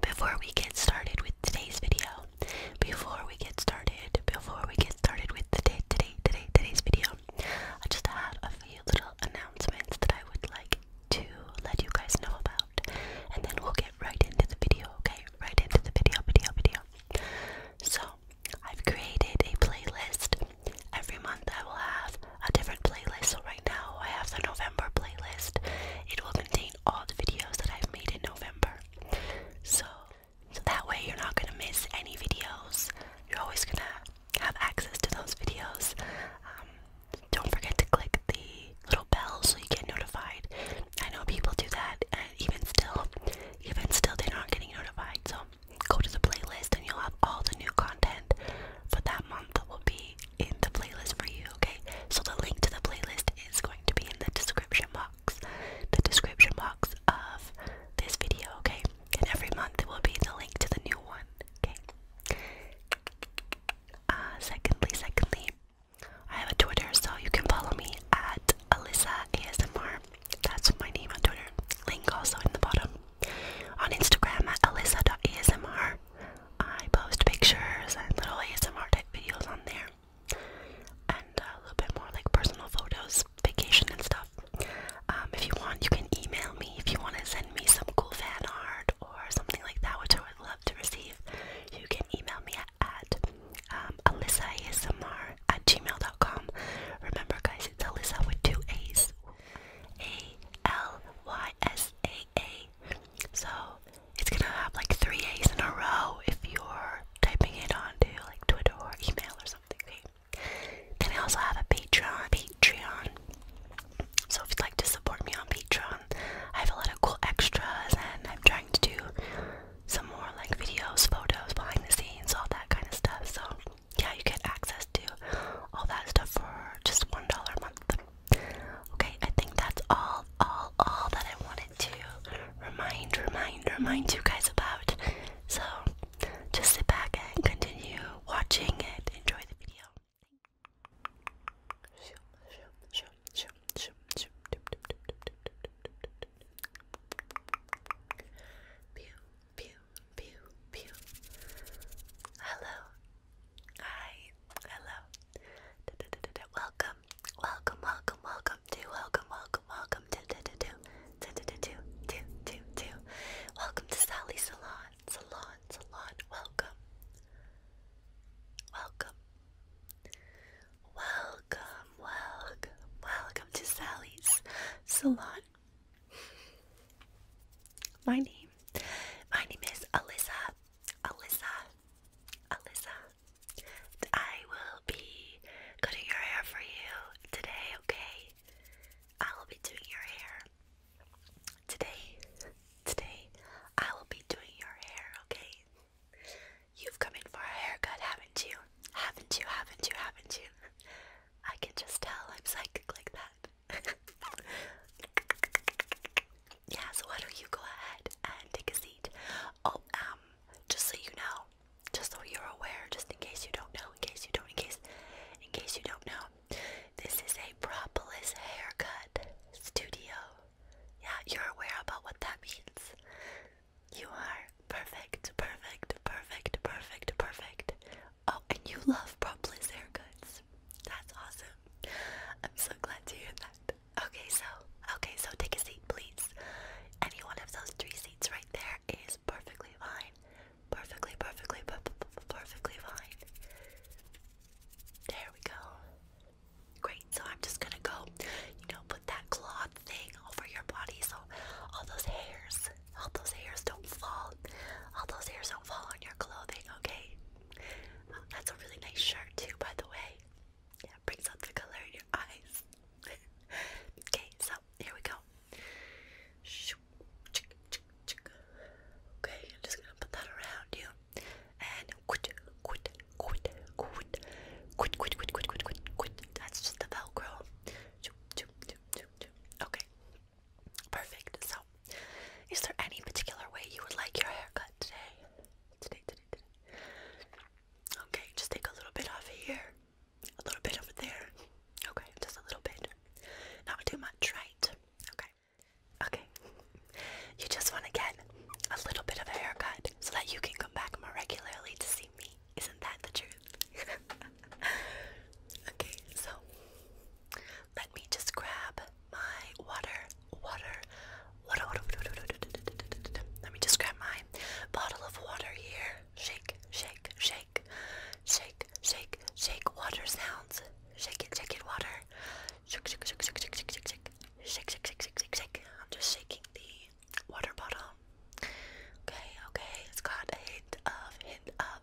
Before we get started with today's video, before we get started, before we get started with today, today, today, today's video, I just had a few little announcements that I would like to let you guys know about, and then we'll get right into the video, okay? Right into the video, video, video. So, I've created a playlist. Every month I will have a different playlist. So, right now I have the November playlist. It will contain all the videos that I've made in November. So, so that way you're not going to miss any videos. You're always going to have access to those videos. Um, don't forget to click the little bell so you get notified. I know people do that and even still, even still they're not getting notified. So go to the playlist and you'll have all the new content for that month that will be in the playlist for you, okay? So the link to the playlist is going to be in the description box. The description box of this video, okay? And every month it will be the link to the new one, okay? Uh, secondly, secondly, I have a Twitter, so you can follow me at Alyssa ASMR. That's my name on Twitter. Link also in the bottom. On Instagram at Alyssa.asmr. I post pictures and little ASMR type videos on there, and a little bit more like personal photos, vacation and stuff. Um, if you want, you can email me if you want to send me some cool fan art or something like that, which I would love to receive. You can email me at, um, at um, alyssaasmr at gmail.com. Remember, guys, it's Alyssa with two A's. A L Y S A A so it's gonna have like three A's in a row if you're typing it onto like Twitter or email or something. Okay? Then I also have a Patreon. Patreon. So if you'd like to support me on Patreon, I have a lot of cool extras and I'm trying to do some more like videos, photos, behind the scenes, all that kind of stuff. So yeah, you get access to all that stuff for just one dollar a month. Okay, I think that's all, all, all that I wanted to remind, remind, remind you guys about. So just sit back and continue watching it. Enjoy the video. Pew, pew, pew, pew. Hello, Hi, hello. Welcome, welcome, welcome, welcome to, welcome, welcome, welcome to, Welcome to Sally Salon, Salon, Salon. Welcome, welcome, welcome, welcome, welcome to Sally's Salon. My name, my name is Alyssa Alyssa, Alyssa, I will be cutting your hair for you today, okay? I will be doing your hair today. Today, I will be doing your hair, okay? You've come in for a haircut, haven't you? Haven't you? Haven't you? Haven't you? I can just tell I'm psychic like that. yeah, so why don't you go ahead and take a seat? Oh, um, just so you know, just so you're aware, just in case you don't know, in case you don't, in case, in case you don't know, this is a Propolis haircut studio. Yeah, you're aware about what that means. You are perfect, perfect, perfect, perfect, perfect. Oh, and you love Promptless Hair Goods. That's awesome. I'm so glad to hear that. Okay, so, okay, so take a seat, please. Any one of those three seats right there is perfectly fine. Perfectly, perfectly, per perfectly fine. There we go. Great, so I'm just gonna go, you know, put that cloth thing over your body so all those hairs, all those hairs don't fall all those hairs don't fall on your clothing, okay? Uh, that's a really nice shirt, too, by the way. Yeah, brings out the color in your eyes. okay, so here we go. Okay, I'm just gonna put that around you. And quit, quit, quit, quit, quit, quit, quit, quit, quit, quit. That's just the Velcro. Okay, Perfect. So, is there any particular way you would like your haircut today? Today, today, today. Okay, just take a little bit off of here, a little bit over there. Okay, just a little bit. Not too much, right? Okay. Okay. You just want to get a little bit of a haircut so that you can come back more regularly to see me. Isn't that the truth? okay, so let me just grab my water, water, water, water, water, water. Let me just grab my bottle of water here. Shake, shake, shake, shake, shake, shake. Water sounds. Shake it, shake it, water. Shake, shake, shake, shake, shake, shake, shake, shake. Shake, shake, shake, shake, shake, shake. I'm just shaking the water bottle. Okay, okay. It's got a hint of hint of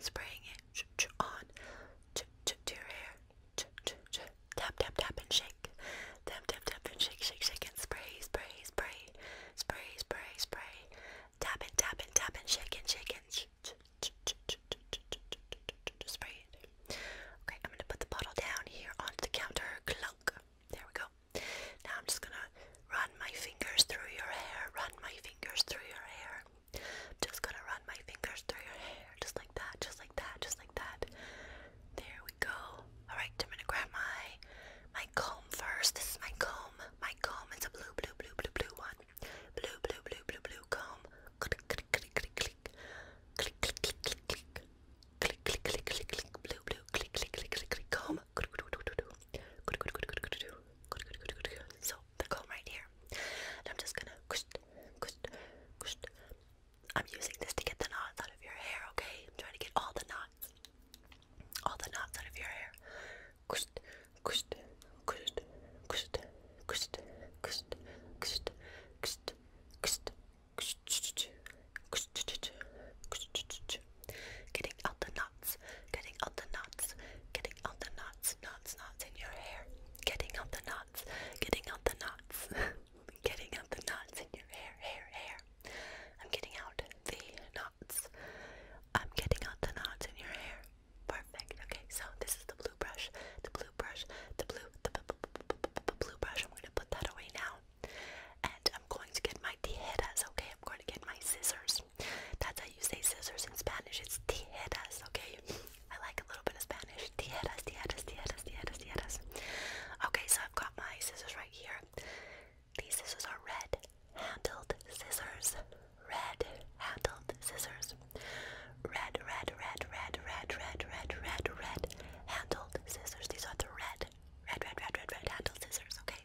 spraying it on to your hair. Tap, tap, tap, and shake. Tap, tap, tap, and shake, shake, shake, and spray, spray, spray, spray, spray, spray. Tap and tap and tap and shake and shake and spray it. Okay, I'm gonna put the bottle down here onto the counter. Clunk. There we go. Now I'm just gonna Run my fingers through your hair. Run my fingers through your hair. I'm just gonna run my fingers through your hair. Just like that, just like that, just like that. There we go. Alright, I'm gonna grab my my comb first. This is my comb. My comb. It's a blue, blue, blue, blue, blue one. Blue, blue, blue, blue, blue comb. Click, click, click, click, click. Click, click, click, click, click. Click, click, click, click, click. Blue, blue, click, click, click, click, click. Comb. So the comb right here. And I'm just gonna. I'm using this to get the knots out of your hair. Okay, I'm trying to get all the knots, all the knots out of your hair. Getting out the knots, getting out the knots, getting out the knots, knots, knots in your hair. Getting out the knots, getting out the knots, getting out the knots in your hair, hair, hair. I'm getting out the knots. I'm getting out the knots in your hair. Perfect. Okay, so this is the blue brush, the blue brush, the blue, the blue brush. I'm going to put that away now. And I'm going to get my tijeras, okay? I'm going to get my scissors. That's how you say scissors in Spanish. It's tijeras, okay? I like a little bit of Spanish. Tijeras, tijeras, tijeras, tijeras, tijeras. Okay, so I've got my scissors right here. These scissors are red handled scissors. Red handled scissors. Red, red, red, red, red, red, red, red, red handled scissors. These are the red, red, red, red, red, red handled scissors, okay?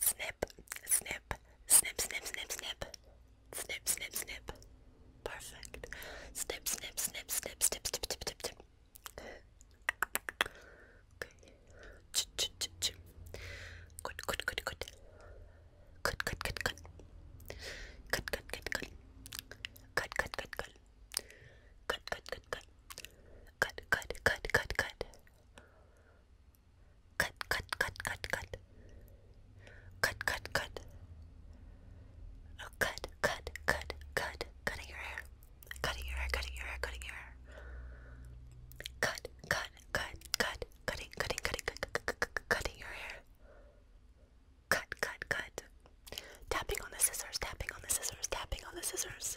Snip, snip, snip, snip, snip, snip. Snip, snip, snip. Perfect. Snip, snip, snip, snip, snip, snip, snip, snip, snip. Okay. Ch ch ch ch. Good, good, good, good. Good, good, good, good. Good, good, good, good. Good, good, good, good. Good, good, good, good. Good, good, good, good, good. Cut, cut, cut, cut, cut. Cut, cut, cut. Oh, cut, cut, cut, cut. Cutting your hair. Cutting your hair, cutting your hair, cutting your hair. Cut, cut, cut, cut. Cutting, cutting, cutting, cutting, cutting your hair. Cut, cut, cut. Tapping on the scissors, tapping on the scissors, tapping on the scissors.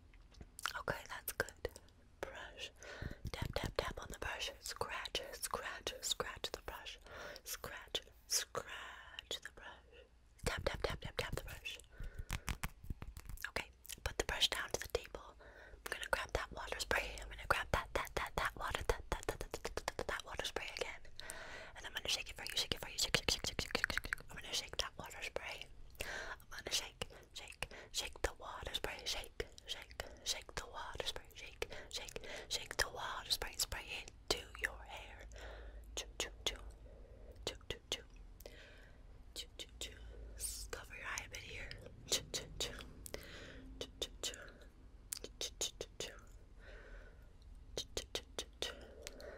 Okay, that's good. Brush. Tap, tap, tap on the brush. Scratch, scratch, scratch the brush. Scratch, scratch the brush. Tap, tap, tap, tap, tap the brush. Okay, put the brush down to the table. I'm gonna grab that water spray. I'm gonna grab that, that, that, that water, that, that, that, that, that, that, that, that water spray again. And I'm gonna shake it for you, shake it for you, shake, shake, shake, shake, shake, shake, shake. I'm gonna shake that water spray. I'm gonna shake, shake, shake the water spray. Shake, shake, shake the water spray. Shake, shake, shake the water spray. Spray it to your hair. Choo, choo, choo, choo, choo, choo, choo, choo, choo. Cover your eye a bit here. choo, choo, choo, choo, choo, choo, choo, choo, choo, choo, choo, choo, choo, choo,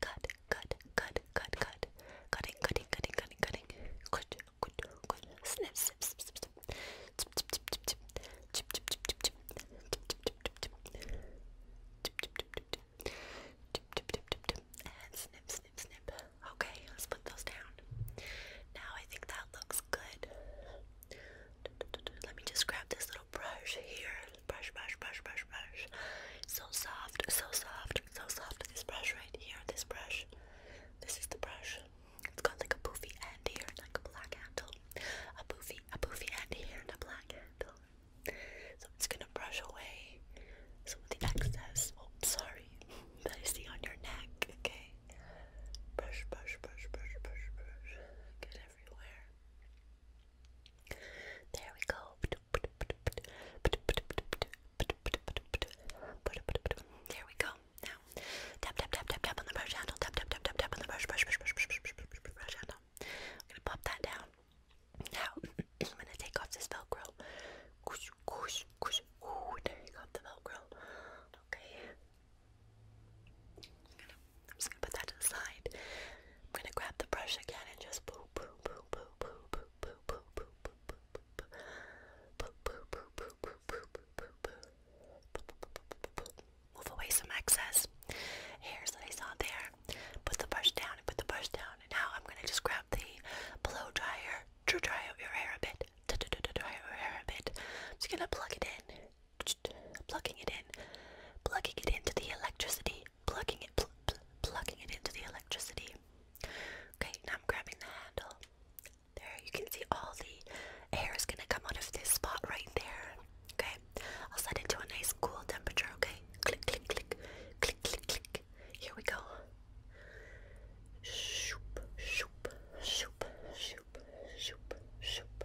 Cut, cut, cut, cut, cut. Cutting, cutting, cutting, cutting, cutting. Cut, cut, cut. Snip, snip, snip, snip, snip. Chip, chip, chip, chip, chip. Chip, chip, chip, chip, chip. And snip, snip, snip. Okay, let's put those down. Now I think that looks good. Let me just grab this little brush here brush, brush, brush, brush, brush. So soft, so soft, so soft. This brush right here, this brush. This is the brush. It's got like a poofy end here, like a black handle. A poofy, a poofy end here, and a black handle. So it's gonna brush away some of the excess. Oh, sorry, that I see on your neck. Okay. Brush, brush, brush, brush, brush, brush. Get everywhere. There we go. There we go. Now, tap, tap, tap, tap, tap on the brush handle. Tap, tap, tap, tap, tap on the brush, brush, brush, brush, brush, handle. I'm gonna pop that down. Now, I'm gonna take off this Velcro. there you go, the Velcro. Okay. I'm just gonna put that to the side. I'm gonna grab the brush again and just boop boop boop boop boop boop boop boop boop boop boop boop boop boop boop Move away some excess hairs that I saw there. Put the brush down and put the brush down. And now I'm gonna just grab the blow dryer to dry out your hair a bit. To dry out your hair a bit. I'm just gonna plug it in plugging it in, plugging it into the electricity, plugging it, pl pl plugging it into the electricity. Okay, now I'm grabbing the handle. There, you can see all the air is gonna come out of this spot right there. Okay, I'll set it to a nice cool temperature. Okay, click, click, click, click, click, click. Here we go. Shoop, shoop, shoop, shoop, shoop, shoop,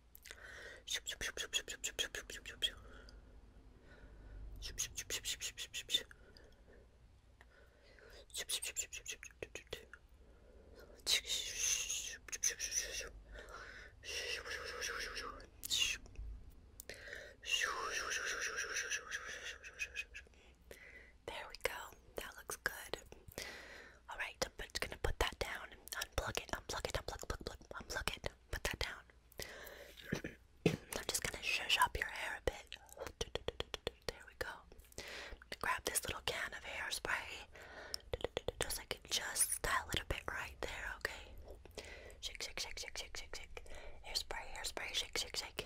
There we go. That looks good. Alright, I'm just gonna put that down and unplug it, unplug it, unplug, plug, unplug it, put that down. I'm just gonna shush up your hair a bit. There we go. Grab this little can of hairspray. Just I can just style it a bit right there, okay? Shake, shake, shake, shake, shake, shake, shake. Hairspray, hairspray, shake, shake, shake.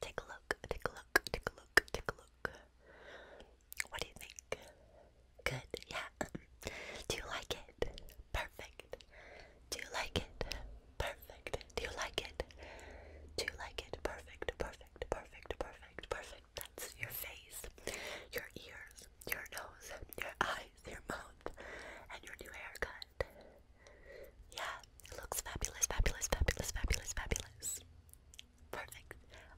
Take a look, take a look, take a look, take a look. What do you think? Good, yeah. Do you like it? Perfect. Do you like it? Perfect. Do you like it? Do you like it? Perfect, perfect, perfect, perfect, perfect. That's your face, your ears, your nose, your eyes, your mouth, and your new haircut that. Yeah, it looks fabulous, fabulous, fabulous, fabulous, fabulous. Perfect.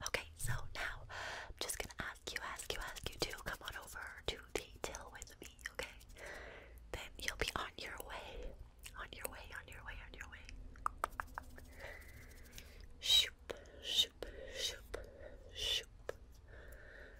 Okay, so now I'm just gonna ask you, ask you, ask you to come on over to detail with me, okay? Then you'll be on your way. On your way, on your way, on your way. Shoop, shoop, shoop, shoop